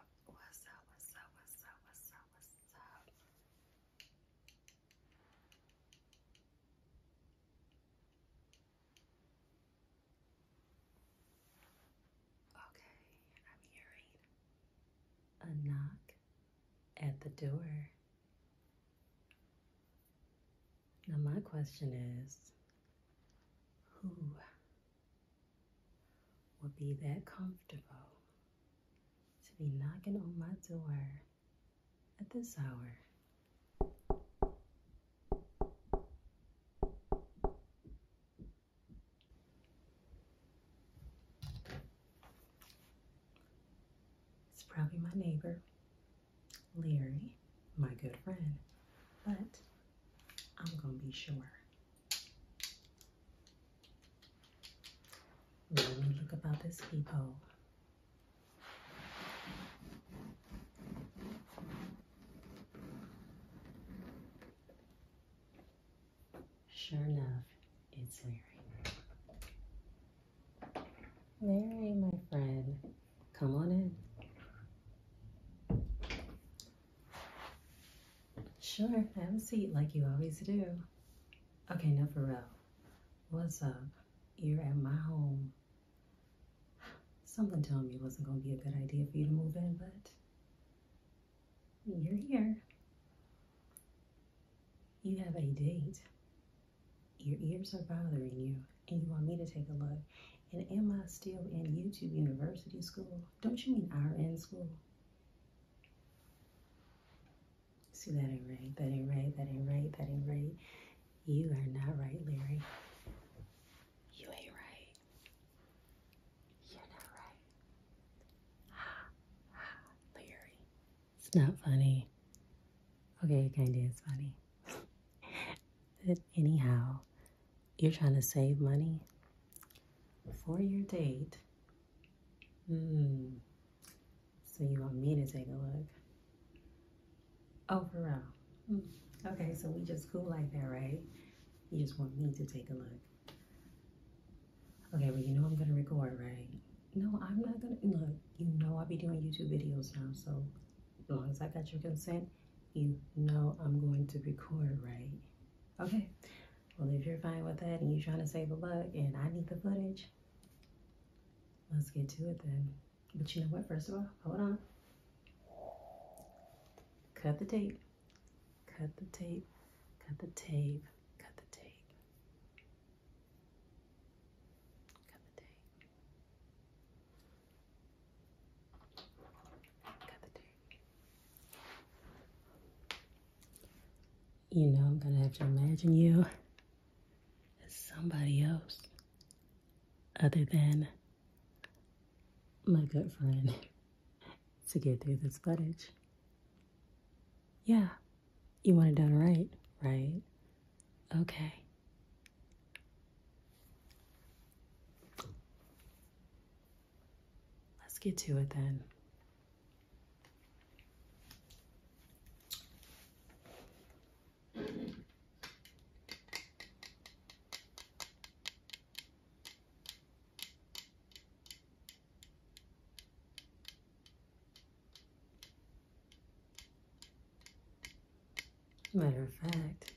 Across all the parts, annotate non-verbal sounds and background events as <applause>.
up? What's up? What's up? What's up? What's up? What's up? Okay, I'm hearing a knock at the door. Now, my question is who will be that comfortable to be knocking on my door at this hour. It's probably my neighbor, Leary, my good friend, but I'm going to be sure now let me look about this peephole. Sure enough, it's Mary. Mary, my friend, come on in. Sure, have a seat like you always do. Okay, now for real. What's up? You're at my home. Something told me it wasn't going to be a good idea for you to move in, but you're here. You have a date. Your ears are bothering you, and you want me to take a look. And am I still in YouTube University School? Don't you mean I'm in school? See, that ain't right. That ain't right. That ain't right. That ain't right. You are not right, Larry. You ain't right. You're not right. Ha, <sighs> ha, Larry. It's not funny. Okay, it kind of is funny. <laughs> but anyhow, you're trying to save money for your date. Mm. So you want me to take a look? Oh, for real. Hmm. Okay, so we just cool like that, right? You just want me to take a look. Okay, well, you know I'm going to record, right? No, I'm not going to. Look, you know I'll be doing YouTube videos now, so as long as I got your consent, you know I'm going to record, right? Okay, well, if you're fine with that and you're trying to save a buck and I need the footage, let's get to it then. But you know what? First of all, hold on. Cut the tape. Cut the tape. Cut the tape. Cut the tape. Cut the tape. Cut the tape. You know, I'm gonna have to imagine you as somebody else other than my good friend to get through this footage. Yeah, you want it done right, right? Okay. Let's get to it then. Matter of fact,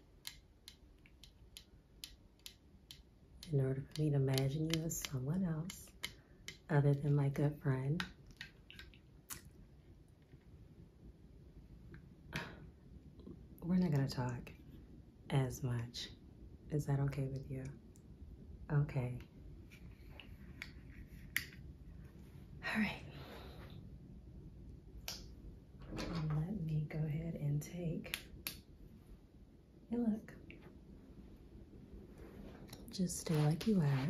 in order for me to imagine you as someone else other than my good friend. We're not going to talk as much. Is that okay with you? Okay. All right. let me go ahead and take Hey, look. Just stay like you are.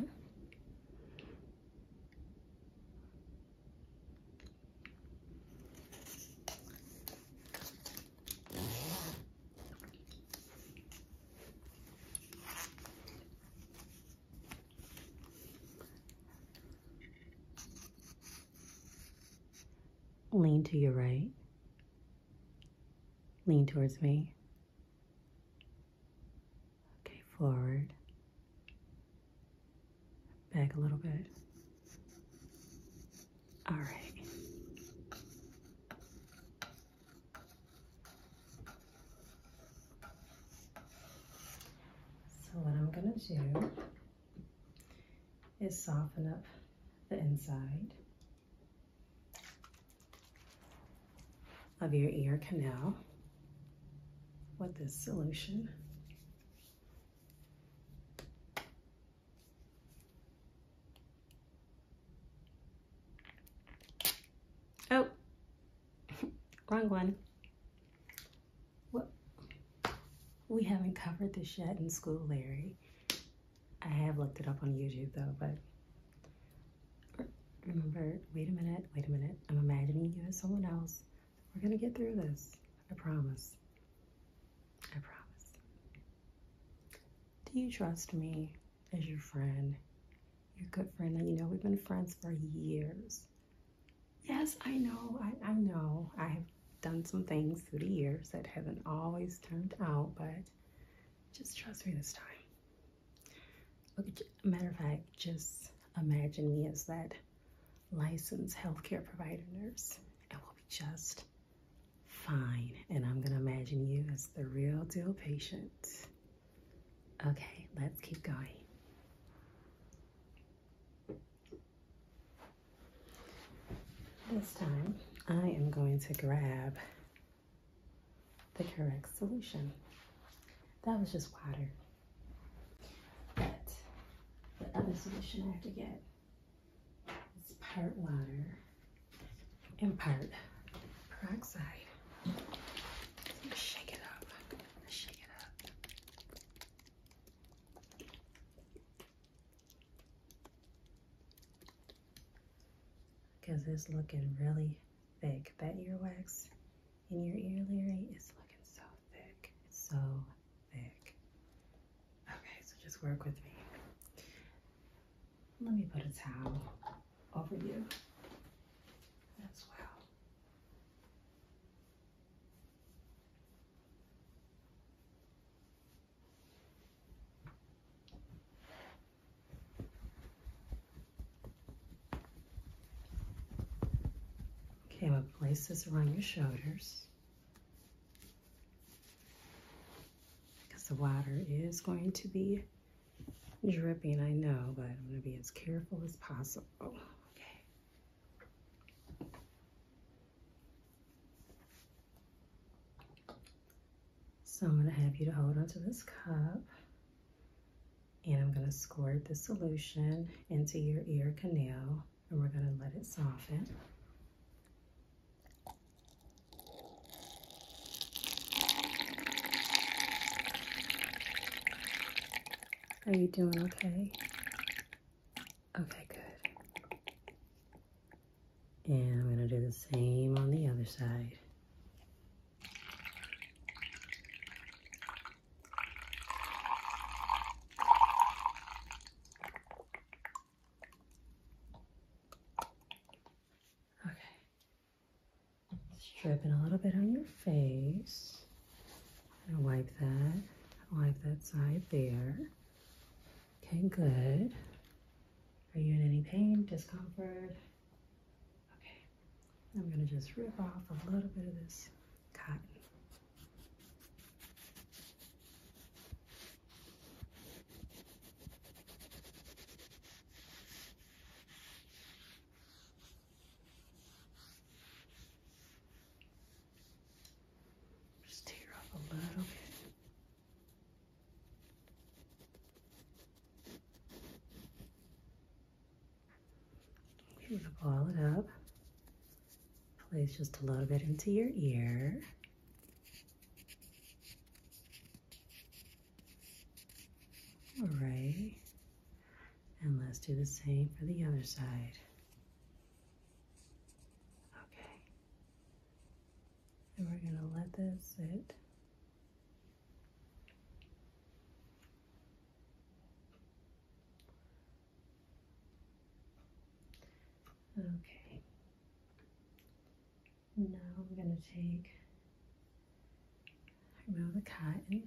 Lean to your right. Lean towards me. Okay, forward. Back a little bit. All right. So what I'm going to do is soften up the inside of your ear canal with this solution. Oh, <laughs> wrong one. Whoop. We haven't covered this yet in school, Larry. I have looked it up on YouTube though, but remember, wait a minute, wait a minute. I'm imagining you as someone else. We're gonna get through this, I promise. I promise. Do you trust me as your friend? Your good friend that you know we've been friends for years. Yes, I know, I, I know. I have done some things through the years that haven't always turned out, but just trust me this time. Look matter of fact, just imagine me as that licensed healthcare provider nurse, and we'll be just fine. And I'm gonna imagine you as the real deal patient. Okay, let's keep going. This time, I am going to grab the correct solution. That was just water. But the other solution I have to get is part water and part peroxide. Shake it up. Shake it up because it's looking really thick. That earwax in your ear, Larry, is looking so thick. It's so thick. Okay, so just work with me. Let me put a towel over you as well. Okay, we'll place this around your shoulders because the water is going to be dripping, I know, but I'm going to be as careful as possible. Okay. So I'm going to have you to hold onto this cup and I'm going to squirt the solution into your ear canal and we're going to let it soften. Are you doing okay? Okay, good. And I'm going to do the same on the other side. Okay. Stripping a little bit on your face. i wipe that. Wipe that side there. Okay, good. Are you in any pain, discomfort? Okay, I'm gonna just rip off a little bit of this cotton. Just tear up a little bit. you it up. Place just a little bit into your ear. All right. And let's do the same for the other side. Okay. And we're going to let this sit. Okay. Now I'm going to take, remove the cotton.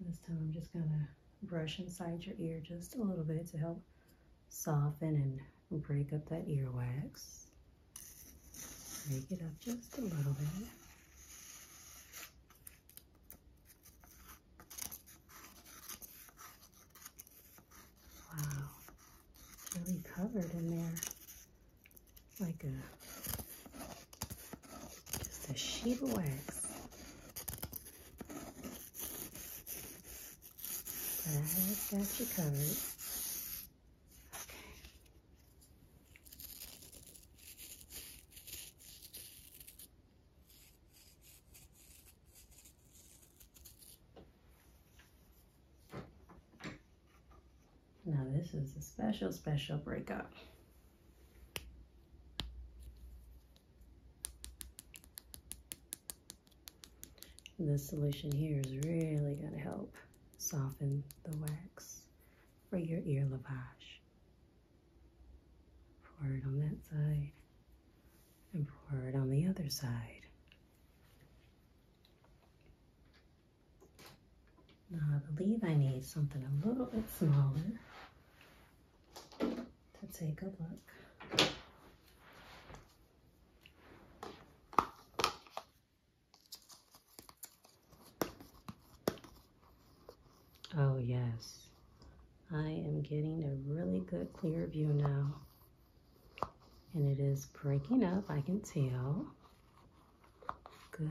This time I'm just going to brush inside your ear just a little bit to help soften and break up that earwax. Break it up just a little bit. Wow, really covered in there like a just a sheet of wax. But I have got you covered. Okay. Now this is a special, special breakup. This solution here is really going to help soften the wax for your ear lavage. Pour it on that side and pour it on the other side. Now I believe I need something a little bit smaller to take a look. Oh yes, I am getting a really good clear view now. And it is breaking up, I can tell. Good.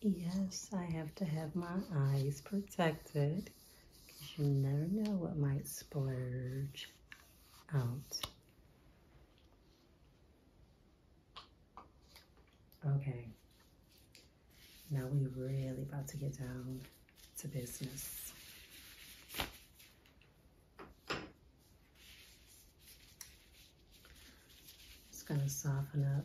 Yes, I have to have my eyes protected because you never know what might splurge out. Okay, now we really about to get down to business. It's going to soften up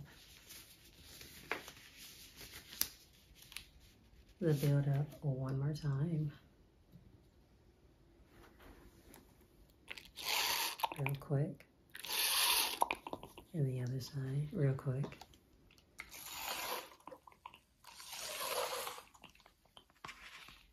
the build up one more time. Real quick. And the other side, real quick.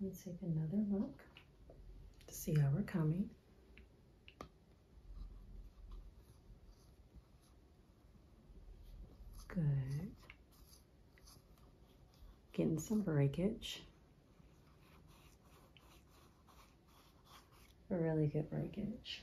Let's take another look to see how we're coming. Good. Getting some breakage. Really good breakage.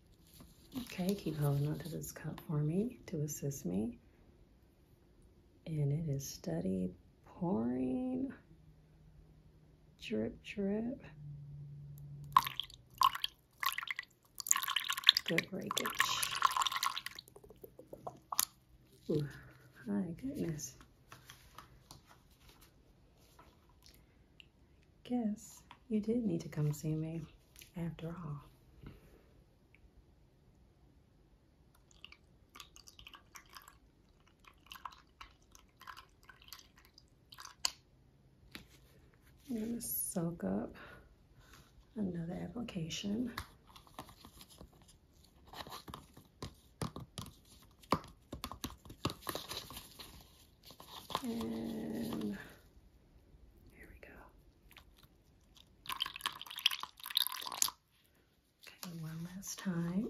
Okay, keep holding onto this cup for me to assist me. And it is steady pouring. Drip, drip. Good breakage. Oh my goodness. Guess you did need to come see me after all. I'm going to soak up another application. And here we go. Okay, one last time.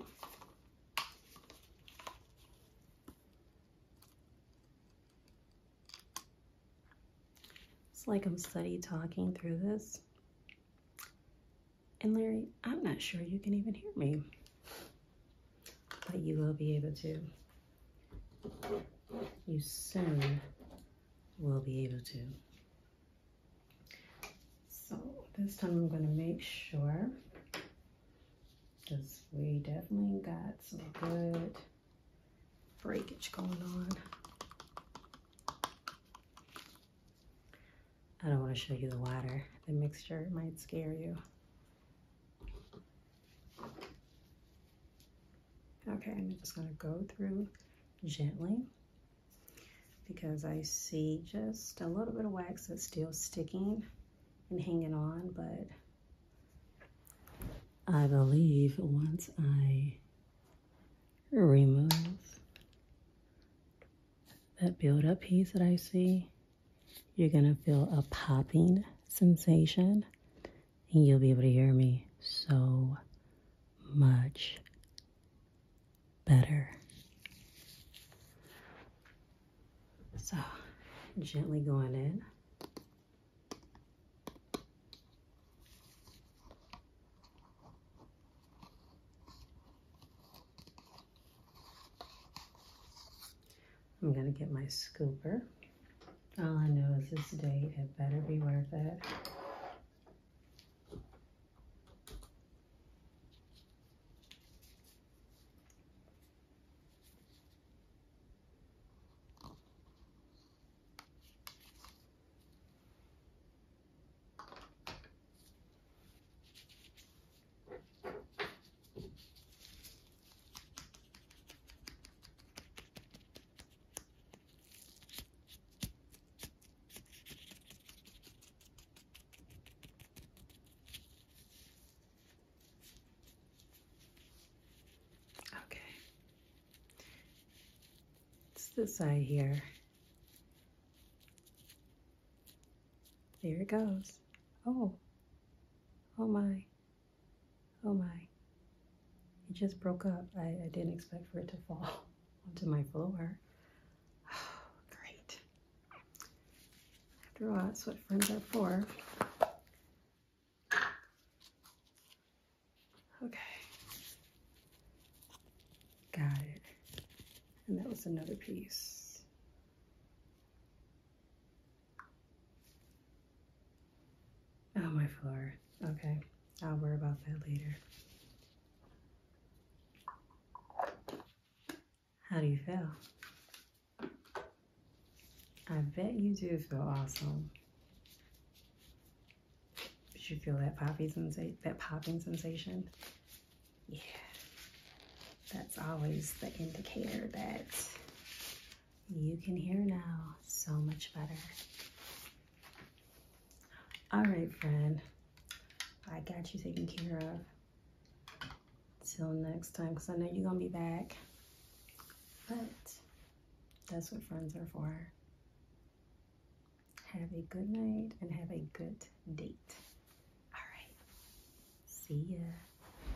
It's like I'm study talking through this. And Larry, I'm not sure you can even hear me but you will be able to. You soon will be able to. So this time I'm going to make sure because we definitely got some good breakage going on. I don't want to show you the water. The mixture might scare you. Okay, I'm just going to go through gently because I see just a little bit of wax that's still sticking and hanging on, but I believe once I remove that buildup piece that I see, you're going to feel a popping sensation, and you'll be able to hear me so much better. So, gently going in. I'm going to get my scooper. All I know is this date had better be worth it. Okay. It's this eye here. There it goes. Oh. Oh my. Oh my, it just broke up. I, didn't expect for it to fall <laughs> onto my floor. Oh, <sighs> great. After all, that's what friends are for. Okay. Got it. And that was another piece. Oh, my floor. Okay, I'll worry about that later. How do you feel? I bet you do feel awesome. Did you feel that That popping sensation? Yeah, that's always the indicator that you can hear now so much better. All right, friend. I got you taken care of. Till next time, because I know you're going to be back. But that's what friends are for. Have a good night and have a good date. All right. See ya.